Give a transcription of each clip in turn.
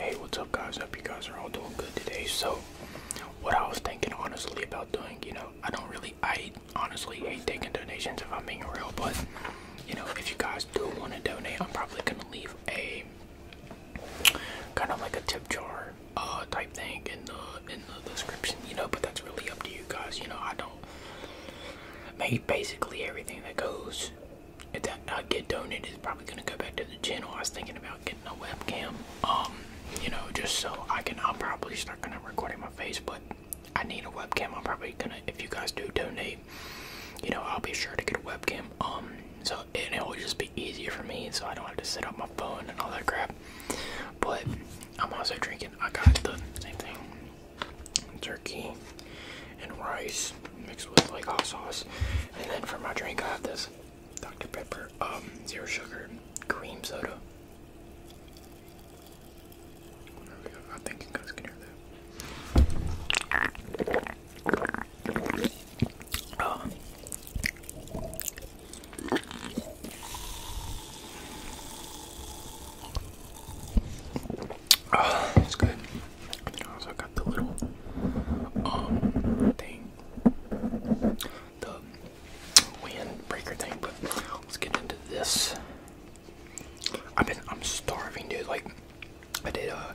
Hey, what's up, guys? Hope you guys are all doing good today. So, what I was thinking honestly about doing, you know, I don't really, I honestly hate taking donations if I'm being real, but you know, if you guys do want to donate, I'm probably gonna leave a kind of like a tip jar uh, type thing in the in the description, you know. But that's really up to you guys, you know. I don't make basically everything that goes if that I get donated, it's probably gonna go back to the channel. I was thinking about getting a webcam, um, you know, just so I can. I'll probably start kind of recording my face, but I need a webcam. I'm probably gonna. If you guys do donate, you know, I'll be sure to get a webcam. Um, so and it will just be easier for me, so I don't have to set up my phone and all that crap. But I'm also drinking. I got the same thing. Turkey and rice mixed with like hot sauce. And then for my drink, I have this Dr. Pepper um, zero sugar cream soda. I think you guys can hear that. Oh, it's good. And I got the little um thing, the windbreaker thing. But let's get into this. I've been I'm starving, dude. Like I did a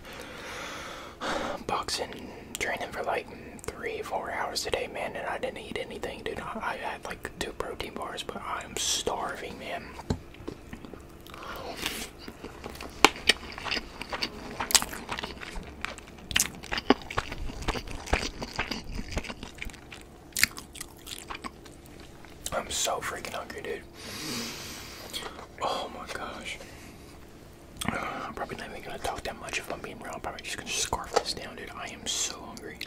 uh, boxing training for like three four hours today, man, and I didn't eat anything, dude. I had like two protein bars, but I am starving, man. I'm so freaking hungry, dude. Oh my gosh. I'm probably not even gonna talk that much if I'm being real. I'm probably just gonna scarf this down, dude. I am so hungry.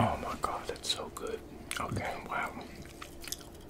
Oh my god, that's so good. Okay, wow.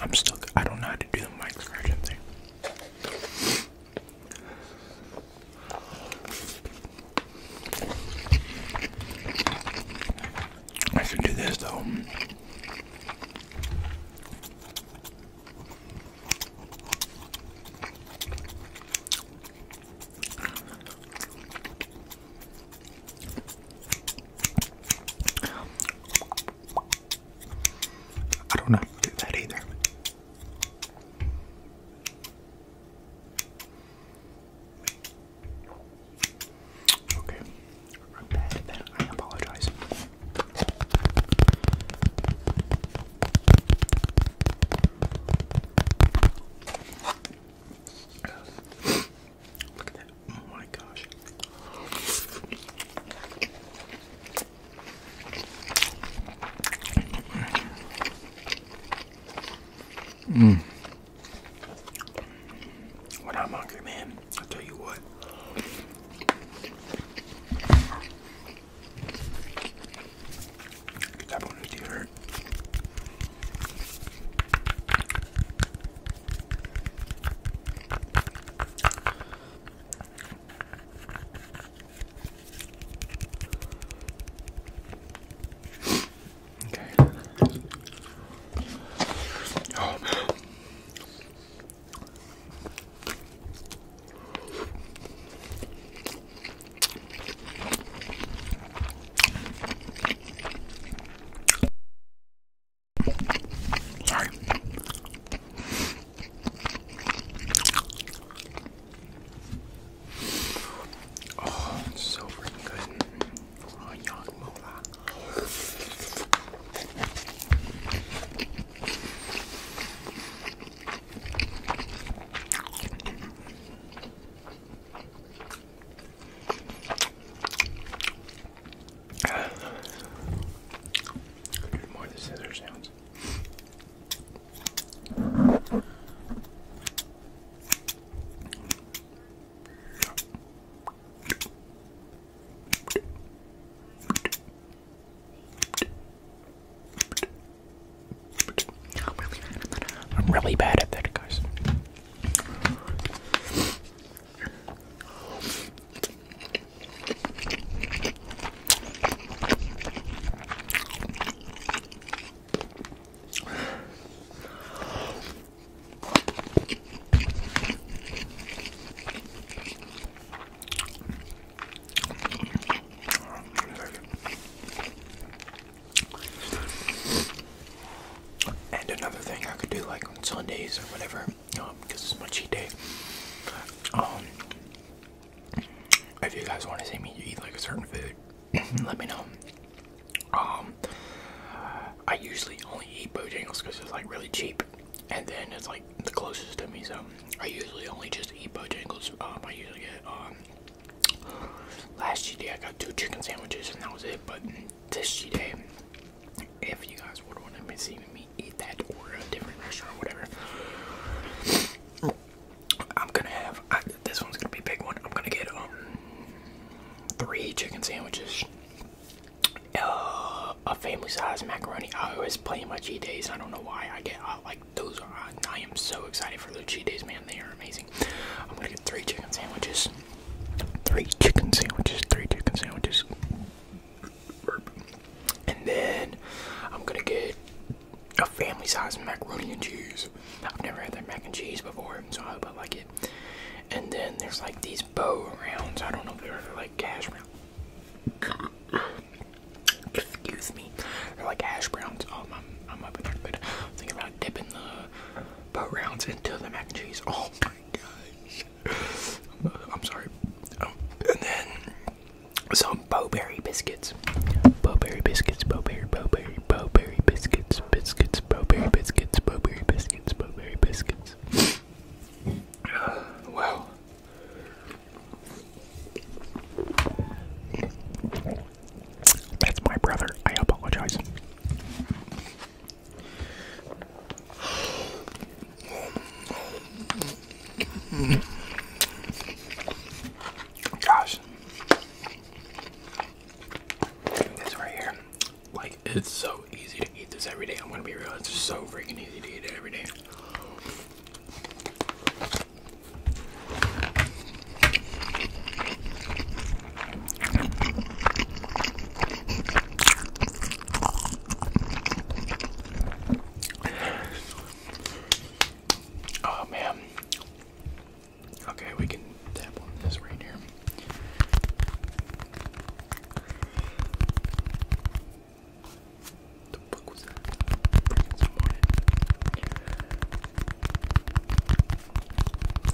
I'm stuck. I don't know how to do the mic scratching thing. I can do this though. I don't know how to do that either. Okay. I apologize. Look at that. Oh my gosh. Mm. When I'm hungry, man, i tell you what. That one is different. Okay. Oh man. Sorry. Oh, it's so freaking good. Oh, young mola. More of the scissor sounds. I'm really bad at that. guys. And another thing I could do like on Sundays or whatever, because um, it's my cheat day. Um, if you guys want to see me eat like a certain food, let me know. Um, I usually only eat Bojangles because it's like really cheap and then it's like the closest to me. So I usually only just eat Bojangles. Um, I usually get um, last cheat day I got two chicken sandwiches and that was it. But this cheat day, if you guys would want to see me eat that or a different restaurant, or whatever, I'm gonna have this one's gonna be a big one. I'm gonna get um three chicken sandwiches uh, a family size macaroni. I always play my cheat days. I don't know why. I get like those. Are, I am so excited for the cheat days, man. They are amazing. I'm gonna get three chicken sandwiches. Three chicken sandwiches. Three chicken sandwiches. And then I'm gonna get a family size macaroni and cheese. I've never had that mac and cheese before, so I hope I like it. And then there's like these bow rounds. I don't know if they're like cash rounds. Excuse me. They're like hash browns. Oh, i I'm up in there. But thinking about dipping the boat rounds into the mac and cheese. Oh my gosh. I'm, sorry. Oh, and then some bowberry biscuits. Bowberry biscuits, bowberry, bowberry, bowberry biscuits, biscuits, bowberry biscuits, bowberry biscuits, bowberry biscuits. wow. That's my brother. I apologize. Gosh. This right here. Like, it's so easy to eat this every day. I'm gonna be real, it's so freaking easy to eat it every day. Oh man. Okay, we can tap on this right here. The fuck was that?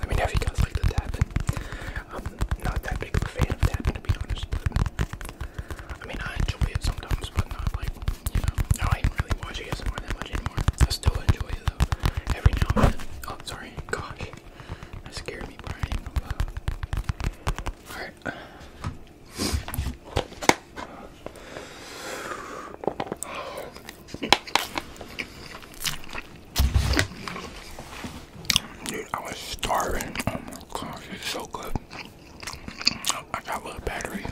Let me know if you guys like the tapping. I'm not that big of a fan of tapping to be honest. I mean, I enjoy it sometimes, but not like, you know. I didn't really watch ASMR that much anymore. I still enjoy it though. Every now and Oh, sorry. Gosh. That scared me, Alright, Dude, I was starving. Oh my gosh, it's so good. I got a little battery.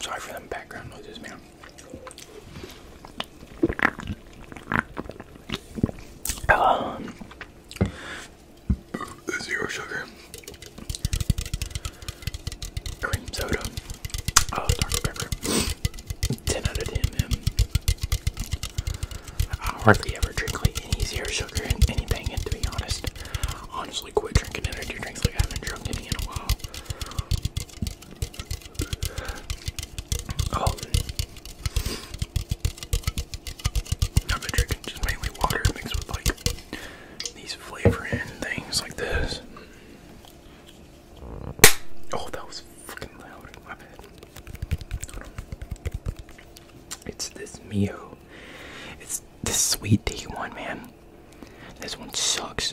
sorry for them background noises, man. Um, zero sugar, cream soda, oh, dark pepper. Ten out of ten, man. I hardly ever drink like any zero sugar in anything, and to be honest, honestly, quit drinking energy drinks like I haven't drunk any in a while. Oh. I've been drinking just mainly water mixed with like these flavoring things like this. Oh, that was fucking loud. in My bad. It's this Mio. It's this sweet tea one, man. This one sucks.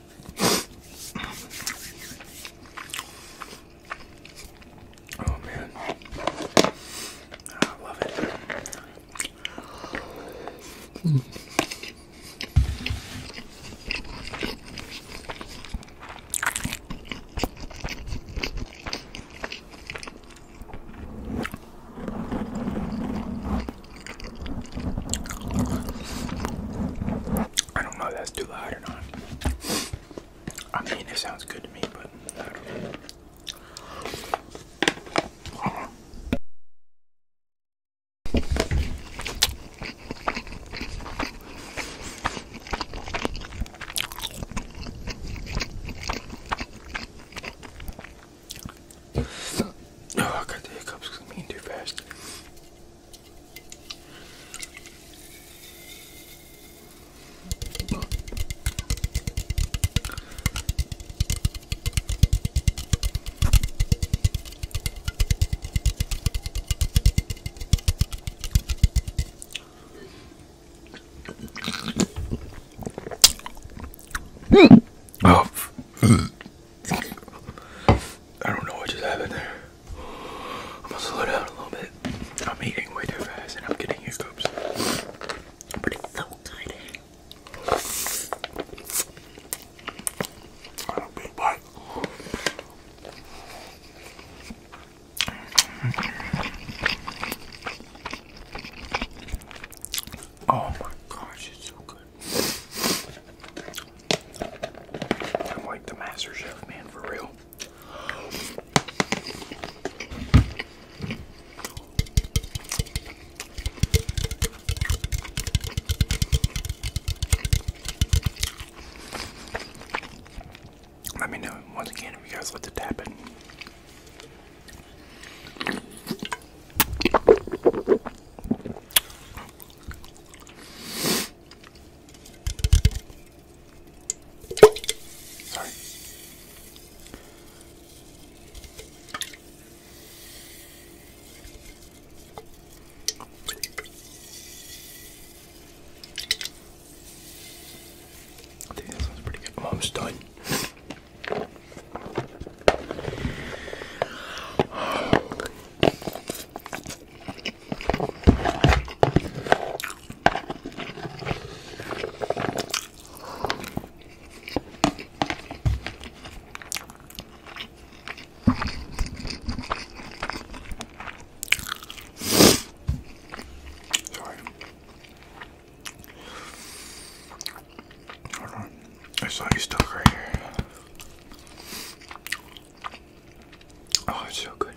Oh man, ah, I love it. Mm. I don't know if that's too loud or not. I mean, it sounds good to me, but I don't know. Oh, I got the hiccups because I'm eating too fast. Hmm. Oh, hmm. I don't know what just happened there. I'm gonna slow down a little bit. I'm eating way too fast and I'm getting hiccups. But it's so good. I do Oh my gosh, it's so good. I'm like the master chef, man, for real. Let me know once again if you guys let the tap in. Sorry. I think that sounds pretty good. am almost done. Sorry. Hold on. I saw you stuck right here. Oh, it's so good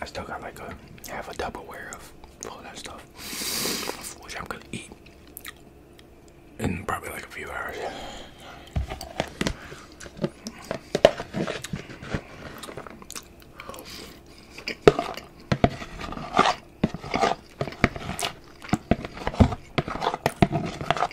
I still got like a half a double Tupperware of all that stuff, which I'm gonna eat in probably like a few hours.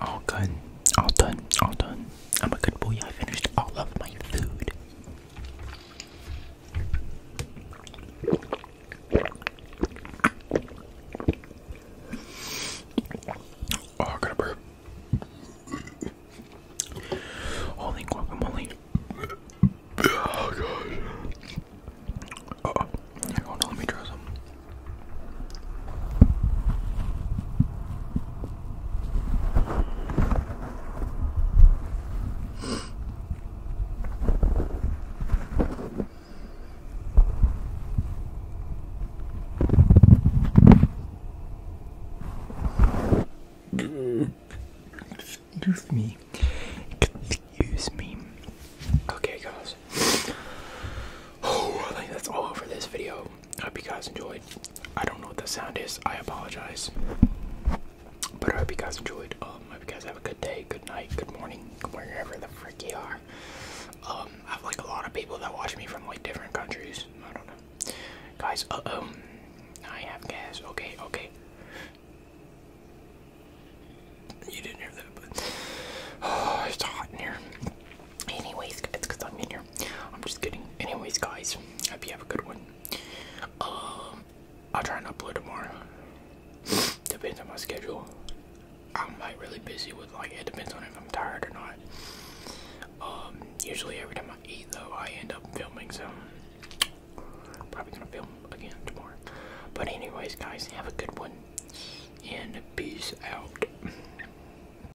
All done. All done. All done. I'm a good boy. I finished all of my food. Oh, I got a burp. Holy guacamole. Oh, gosh. oh. let me try some. Excuse me. Excuse me. Okay, guys. Oh, that's all for this video. I hope you guys enjoyed. I don't know what the sound is. I apologize. But I hope you guys enjoyed. Um, I hope you guys have a good day, good night, good morning, wherever the frick you are. Um, I have like a lot of people that watch me from like different countries. I don't know. Guys, uh, um, I have gas. Okay, okay. You didn't hear that, but it's hot in here. Anyways, guys, because I'm in here. I'm just kidding. Anyways, guys, hope you have a good one. Um, I'll try and upload tomorrow. depends on my schedule. I'm like really busy with like it depends on if I'm tired or not. Um, usually every time I eat though, I end up filming, so probably gonna film again tomorrow. But anyways, guys, have a good one and peace out.